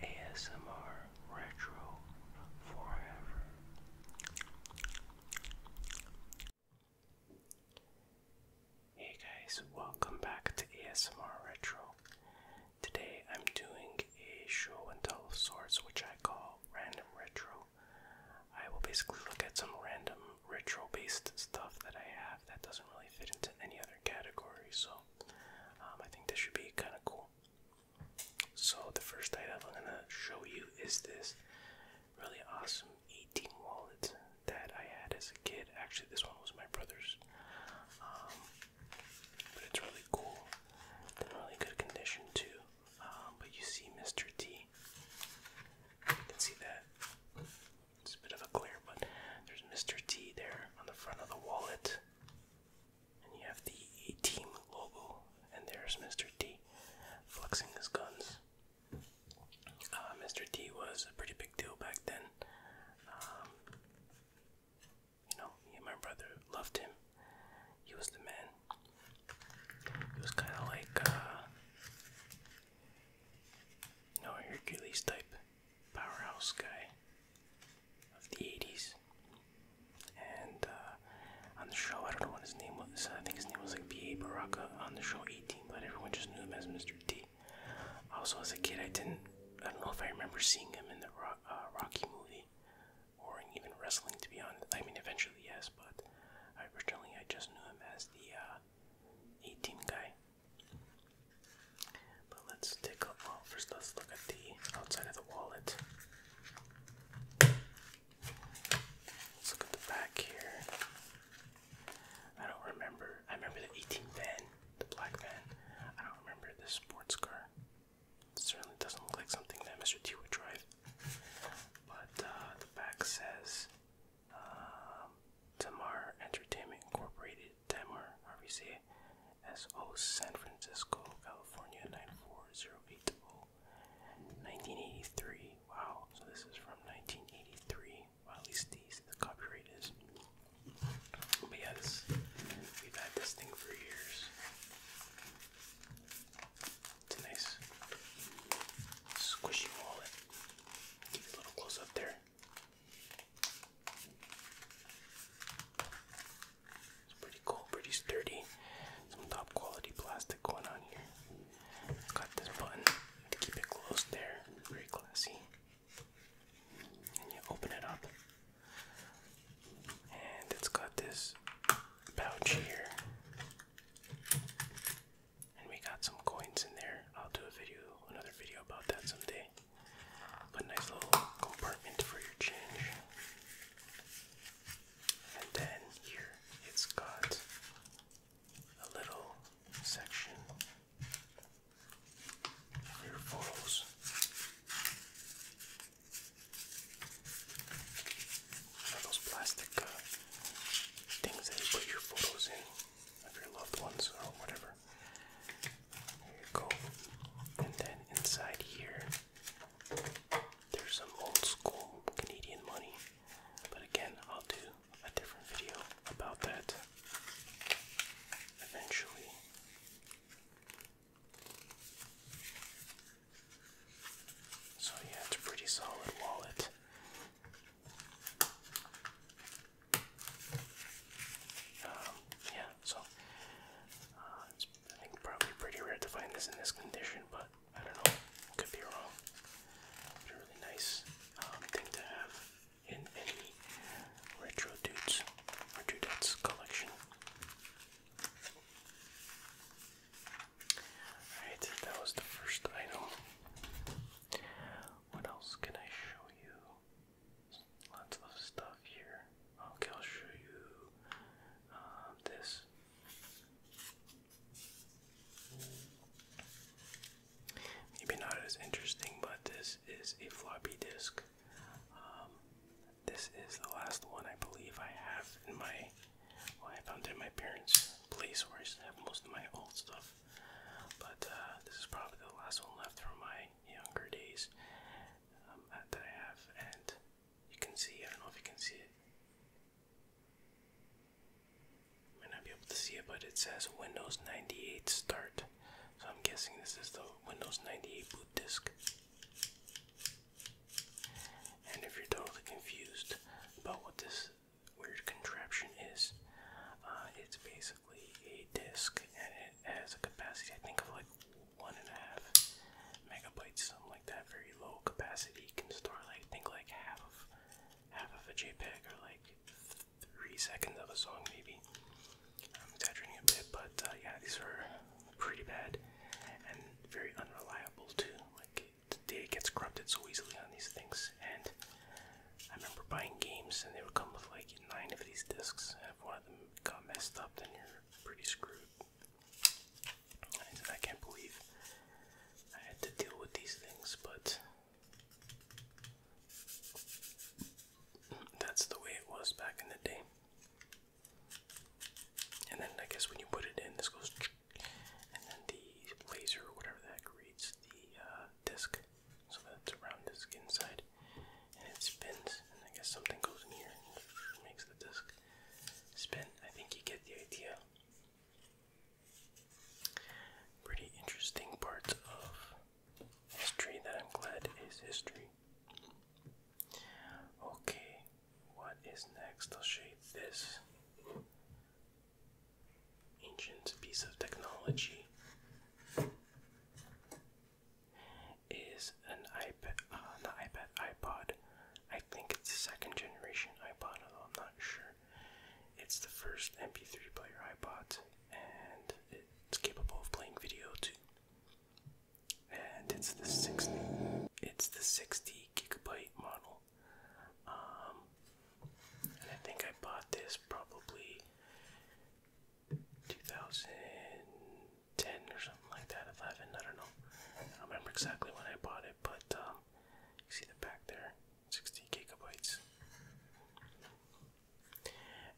ASMR Retro Forever. Hey guys, welcome back to ASMR Retro. Today I'm doing a show and tell of sorts which I call Random Retro. I will basically look at some random retro based stuff that I have that doesn't really fit into any other category, so um, I think this should be kind of cool. So the first item I'm gonna show you is this really awesome 18 wallet that I had as a kid. Actually, this one was my brother's, um, but it's really cool. in really good condition too. Um, but you see Mr. T. You can see that. It's a bit of a glare, but there's Mr. T there on the front of the wallet. And you have the team logo, and there's Mr. T flexing his guns. Uh, Mr. T was a pretty big deal back then. Um, you know, me and my brother loved him. He was the man. He was kind of like, uh, you know, a Hercules type powerhouse guy of the 80s. And uh, on the show, I don't know what his name was. I think his name was like B. A. Baraka on the show 18, but everyone just knew him as Mr. T. Also, as a kid, I didn't. I don't know if I remember seeing him in the uh, Rocky movie or even wrestling, to be honest. I mean, eventually, yes, but originally I just knew him as the uh, 18 guy. But let's take a well first let's look at the outside of the wallet. Let's look at the back here. I don't remember. I remember the 18 van, the black van. I don't remember the sports car. certainly doesn't look like something that Mr. T would drive. But uh, the back says um, Tamar Entertainment Incorporated Tamar, RVC, SO San Francisco, California 94080. 1983. Wow, so this is from 1983. Well, at least the copyright is. But yeah, this, we've had this thing for years. It's a nice squishy wallet. you a little close up there. It's pretty cool, pretty sturdy. Some top quality plastic going on here. Got this button to keep it closed there. Very classy. And you open it up. And it's got this pouch here. And we got some coins in there. I'll do a video, another video about that someday. A nice little compartment for your change. And then here it's got a little section for your photos. All those plastic uh, things that you put your photos in of your loved ones or whatever. There you go. And then inside here, there's some old school Canadian money. But again, I'll do a different video about that eventually. So, yeah, it's a pretty solid wallet. Um, yeah, so uh, it's I think probably pretty rare to find this in this condition, but I don't know, could be wrong. really nice um, thing to have in any retro dudes or dudettes collection. Alright, that was the first item. What else can I show you? Lots of stuff here. Okay, I'll show you uh, this. Maybe not as interesting, but this is a floppy disk. Um, this is the last one I believe I have in my. Well, I found it in my parents' place where I used to have most of my old stuff. But uh, this is probably the last one left from my younger days. Um, that I have, and you can see, I don't know if you can see it. might not be able to see it, but it says Windows 98 Start. So I'm guessing this is the Windows 98 boot disk. And if you're totally confused about what this weird contraption is, uh, it's basically a disk and it has a capacity, I think, of like one and a half megabytes, something like that. Very low capacity. You can store like think like half of half of a JPEG or like three seconds of a song maybe. I'm exaggerating a bit, but uh, yeah, these are pretty bad and very unreliable too. Like the data gets corrupted so easily on these things. And I remember buying games and they would come with like nine of these discs. And if one of them got messed up, then you're pretty screwed. I, can't believe I had to deal with these things, but that's the way it was back in the day. And then I guess when you put it in, this goes, and then the laser whatever that creates the uh, disc, so that's around the disc inside and it spins. And I guess something goes in here and makes the disc spin. I think you get the idea. Pretty interesting parts of history that I'm glad is history. Okay, what is next? I'll show you this ancient piece of technology is an iPad, uh, not iPad, iPod. I think it's the second generation iPod, although I'm not sure. It's the first MP3 player iPod, and it's capable of playing video too. And it's the 60, it's the 60 gigabyte model. Um, I think I bought this probably 2010 or something like that, 11, I don't know. I don't remember exactly when I bought it, but um, you see the back there, 60 gigabytes.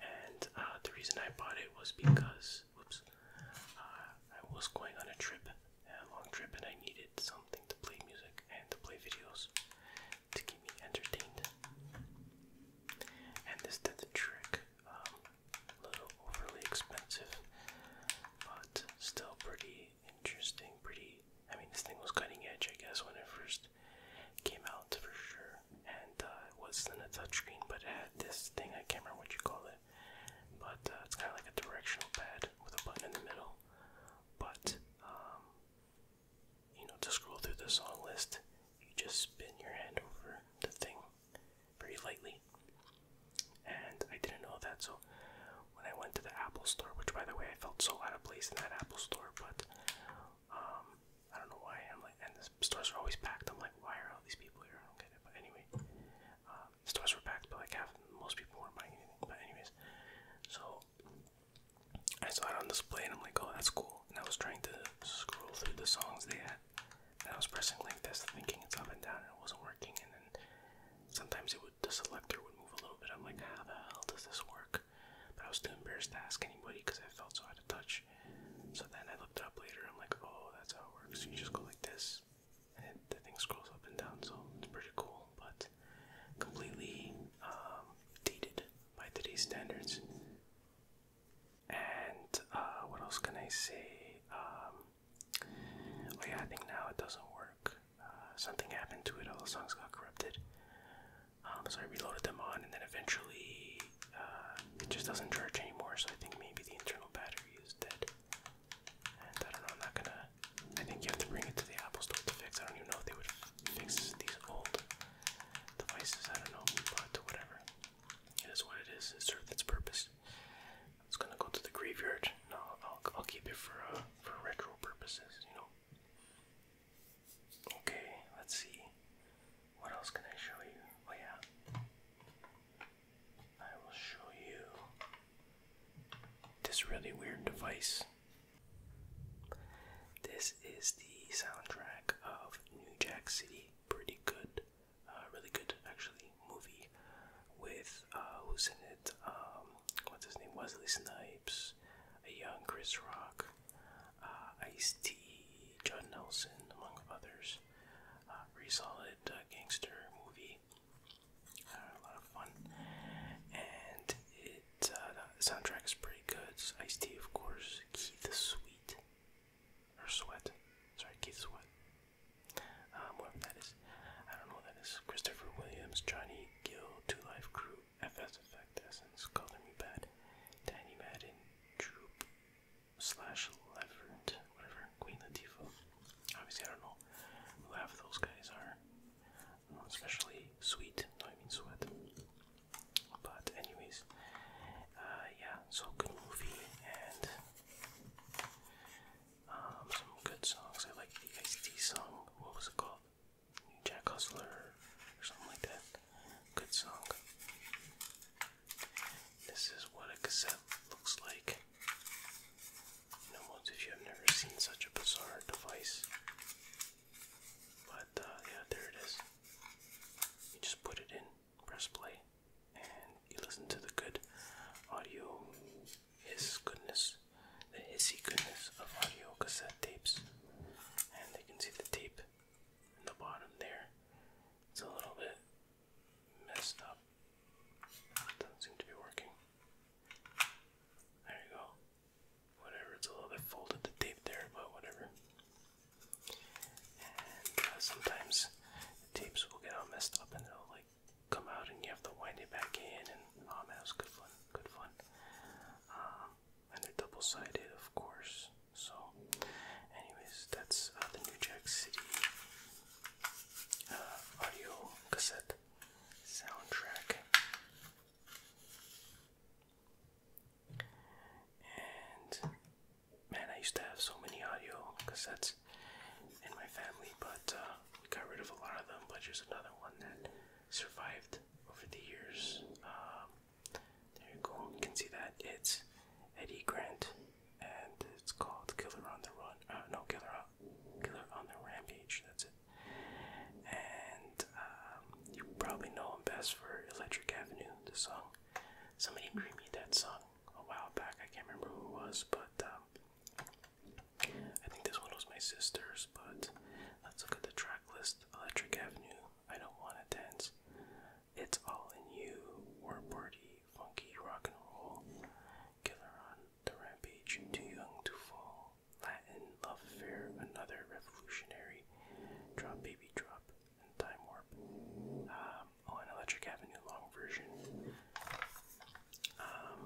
And uh, the reason I bought it was because, whoops, uh, I was going on a trip, a long trip, and I needed something to play music and to play videos to keep me entertained. And this did the trick. Um, little overly expensive, but still pretty interesting. Pretty, I mean, this thing was cutting edge, I guess, when it first came out for sure. And uh, it wasn't a touchscreen, but had this thing, I can't remember what you call it, but uh, it's kind of like a directional pad with a button in the middle. But, um, you know, to scroll through the song list, you just spin your hand over the thing very lightly. And I didn't know that, so when I went to the Apple store, which by the way, I felt so out of place in that Apple store, but um, I don't know why. I'm like, and the stores are always packed. I'm like, why are all these people here? I don't get it. But anyway, uh, the stores were packed, but like half most people weren't buying anything. But anyways, so I saw it on display, and I'm like, oh, that's cool. And I was trying to scroll through the songs they had, and I was pressing like this, thinking it's up and down, and it wasn't working. And then sometimes it would, the selector would move a little bit. I'm like, how the hell does this work? But I was too embarrassed to ask anybody because I felt so out of touch. So then I looked it up later. I'm like, oh, that's how it works. You just go like this, and it, the thing scrolls up and down. So it's pretty cool, but completely um, dated by today's standards. And uh, what else can I say? Um, oh yeah, I think now it doesn't work. Uh, something happened to it. All the songs got corrupted. Um, so I reloaded them on, and then eventually uh, it just doesn't charge anymore. So I think maybe the internal battery is dead. And I don't know. I'm not gonna. I think you have to bring it to the Apple Store to fix. I don't even know if they would fix these old devices. I don't know, but whatever. It is what it is. It served its purpose. It's gonna go to the graveyard. I'll, keep it for uh, for retro purposes, you know. Okay, let's see. What else can I show you? Oh yeah, I will show you this really weird device. This is the soundtrack of New Jack City. Pretty good. A really good actually movie with uh, who's in it? Um, what's his name? Wesley Snipes, a young Chris Rock, uh, Ice T, John Nelson, among others. Uh, solid uh, gangster movie. a lot of fun, and it the soundtrack is pretty good. Ice T, of course. Keith Sweet or Sweat. Sorry, Keith Sweat. Um, whatever that is. I don't know what that is. Christopher Williams, Johnny Gill, Two Life Crew, FS Effect Essence, Color Me Bad, Danny Madden, Droop, Slash Levert, whatever, Queen of the Devil. Obviously, I don't know who half of those guys are. Um, especially Sweet, no, I mean Sweat. But, anyways, uh, yeah, so good movie and. Um, some good songs. I like the Ice-T song. What was it called? Jack Hustler or something like that. Good song. This is what a cassette looks like. No one's if you have never seen such a bizarre device. But uh, yeah, there it is. You just put it in press play, and you listen to the good audio, his goodness, the hissy goodness of audio cassette tapes. And you can see the tape in the bottom there. It's a little bit messed up. Doesn't seem to be working. There you go. Whatever, it's a little bit folded the tape there, but whatever. And uh, sometimes the tapes will get all messed up and they'll like come out and you have to wind it back in and oh man, it was good fun, good fun. Um, and they're double-sided, of course. So, anyways, that's uh, the New Jack City uh, audio cassette soundtrack. And man, I used to have so many audio cassettes in my family, but uh, we got rid of a lot of them. But here's another one that survived over the years. Um, there you go. You can see that it's Eddie Grant, and it's called "Killer on the Run." Uh, no, "Killer on Killer on the Rampage." That's it. And um, you probably know him best for "Electric Avenue," the song. Somebody bring me that song a while back. I can't remember who was, but um, I think this one was my sister's. But let's look at the track list Electric Avenue, I Don't Wanna Dance, It's All in You, War Party, Funky Rock and Roll, Killer on the Rampage, Too Young to Fall, Latin, Love Affair, Another Revolutionary, Drop Baby Drop, and Time Warp. Um, Oh, Electric Avenue long version. Um,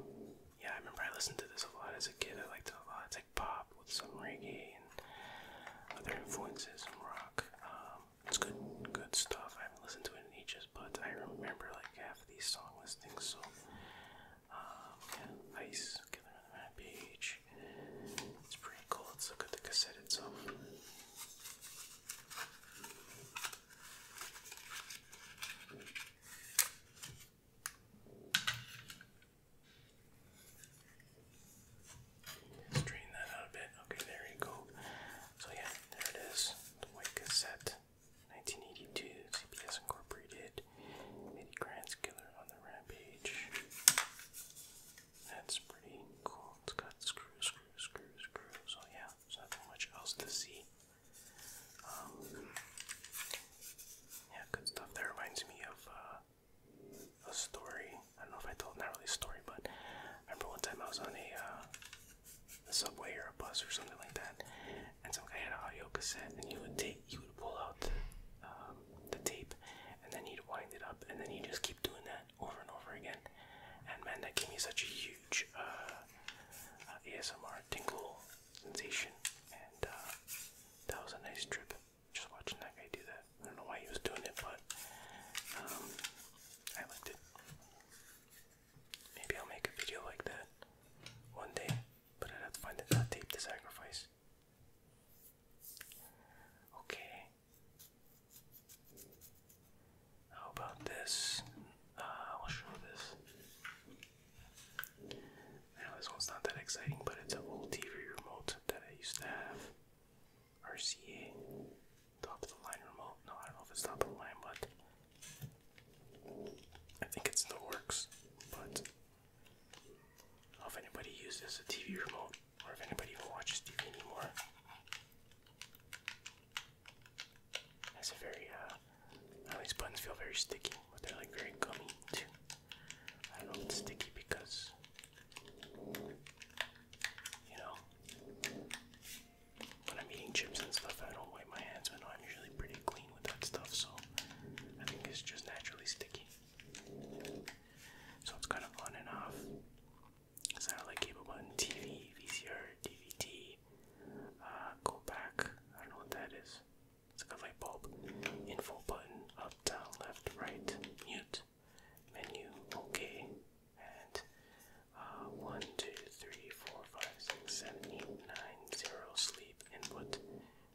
yeah, I remember I listened to this a lot as a kid. I liked it a lot. It's like pop with some reggae and other influences and rock. Um, it's good, good stuff. I haven't listened to it in ages, but I remember like half of these song listings. So, um, Ice Killer on the It's pretty cool. Let's look at the cassette itself. Straighten that out a bit. Okay, there you go. So yeah, there it is. The white cassette, 1982, CBS Incorporated. Eddie Grant's Killer on the Rampage. That's pretty cool. It's got screw, screw, screw, screw. So oh, yeah, there's not too much else to see. Um, yeah, good stuff. That reminds me of uh, a story. I don't know if I told, not a story, but remember one time I was on uh, a, subway or a bus or something like that, and some guy had an audio cassette, and he would take, he would pull out the um, tape, and then he'd wind it up, and then he just keep doing that over and over again. And man, that gave me such a huge huge uh, uh, ASMR tingle sensation, and uh, that was a nice trip. Just watching that guy do that. I don't know why he was doing it, but um, I liked it. Maybe I'll make a video like that one day, but I'd have to find that tape to sacrifice. Okay. How about this? Uh, I'll show this. Now this one's not that exciting, but it's an old TV remote that I used to have. RCA, top of the line remote. No, I don't know if it's top of the line, but I think it's the works. But I do anybody uses a TV remote, or if anybody even watches TV anymore. That's a very, uh, these buttons feel very sticky, but they're like very gummy too. I don't know if it's sticky because, you know, when I'm eating chips and stuff, I don't wipe my hands. I know I'm usually pretty clean with that stuff, so I think it's just naturally sticky. So it's kind of on and off. It's not like cable button, TV, VCR, DVD. Uh, go back. I don't know what that is. It's like a light bulb. Info button. Up, down, left, right. Mute. Menu. Okay. And uh, one, two, three, four, five, six, seven, eight, nine, zero. Sleep. Input.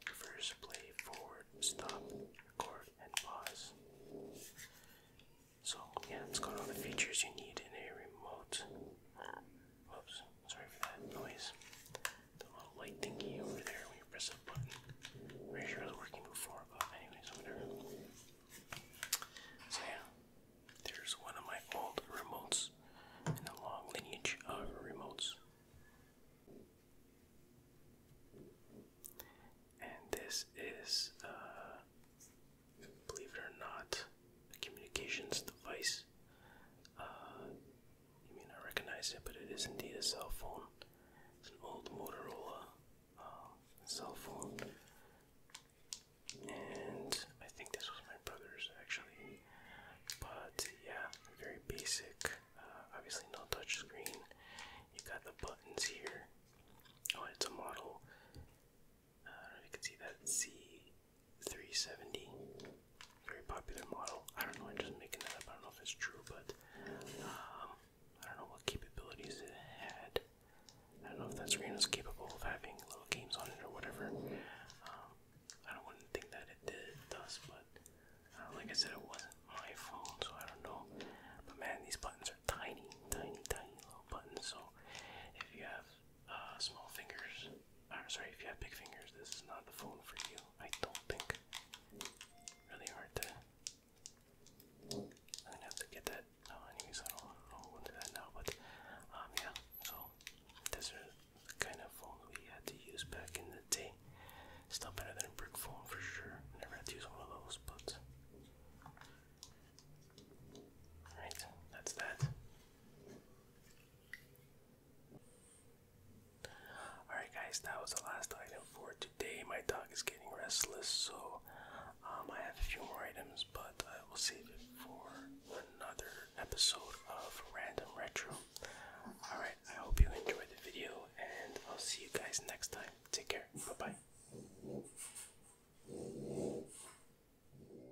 Reverse. Play. Forward. Stop. Record and pause. So yeah, it's got all the features you need in a remote. Whoops, sorry for that noise. The little light thingy over there when you press a button. i sure it was working before, but anyways, So yeah, there's one of my old remotes in a long lineage of remotes. And this is uh, believe it or not, a communications device. Uh, you may not recognize it, but it is indeed a cell phone. It's an old Motorola uh, cell phone. And I think this was my brother's actually. But yeah, very basic. Uh, obviously, no touch screen. You got the buttons here. Oh, it's a model I don't know if you can see that C370, very popular model. I don't know, I'm just making that up. I don't know if it's true, but um, I don't know what capabilities it had. I don't know if that screen was capable of having little games on it or whatever. Um, I don't want to think that it does, but uh, like I said, it wasn't my phone, so I don't know. But man, these buttons are tiny, tiny, tiny little buttons. So if you have uh, small fingers, or sorry, if you have big fingers, this is not the phone for you. I don't think. Really hard to. I'm gonna have to get that. Oh, anyways, I don't, I don't do that now. But um, yeah. So this is kind of phone we had to use back in the day. Still better than brick phone for sure. Never had to use one of those, but. Alright, that's that. Alright, guys, that was the last item for today. My dog is getting restless, so um, I have a few more items, but I will save it for another episode of Random Retro. Alright, I hope you enjoyed the video, and I'll see you guys next time. Take care. Bye bye.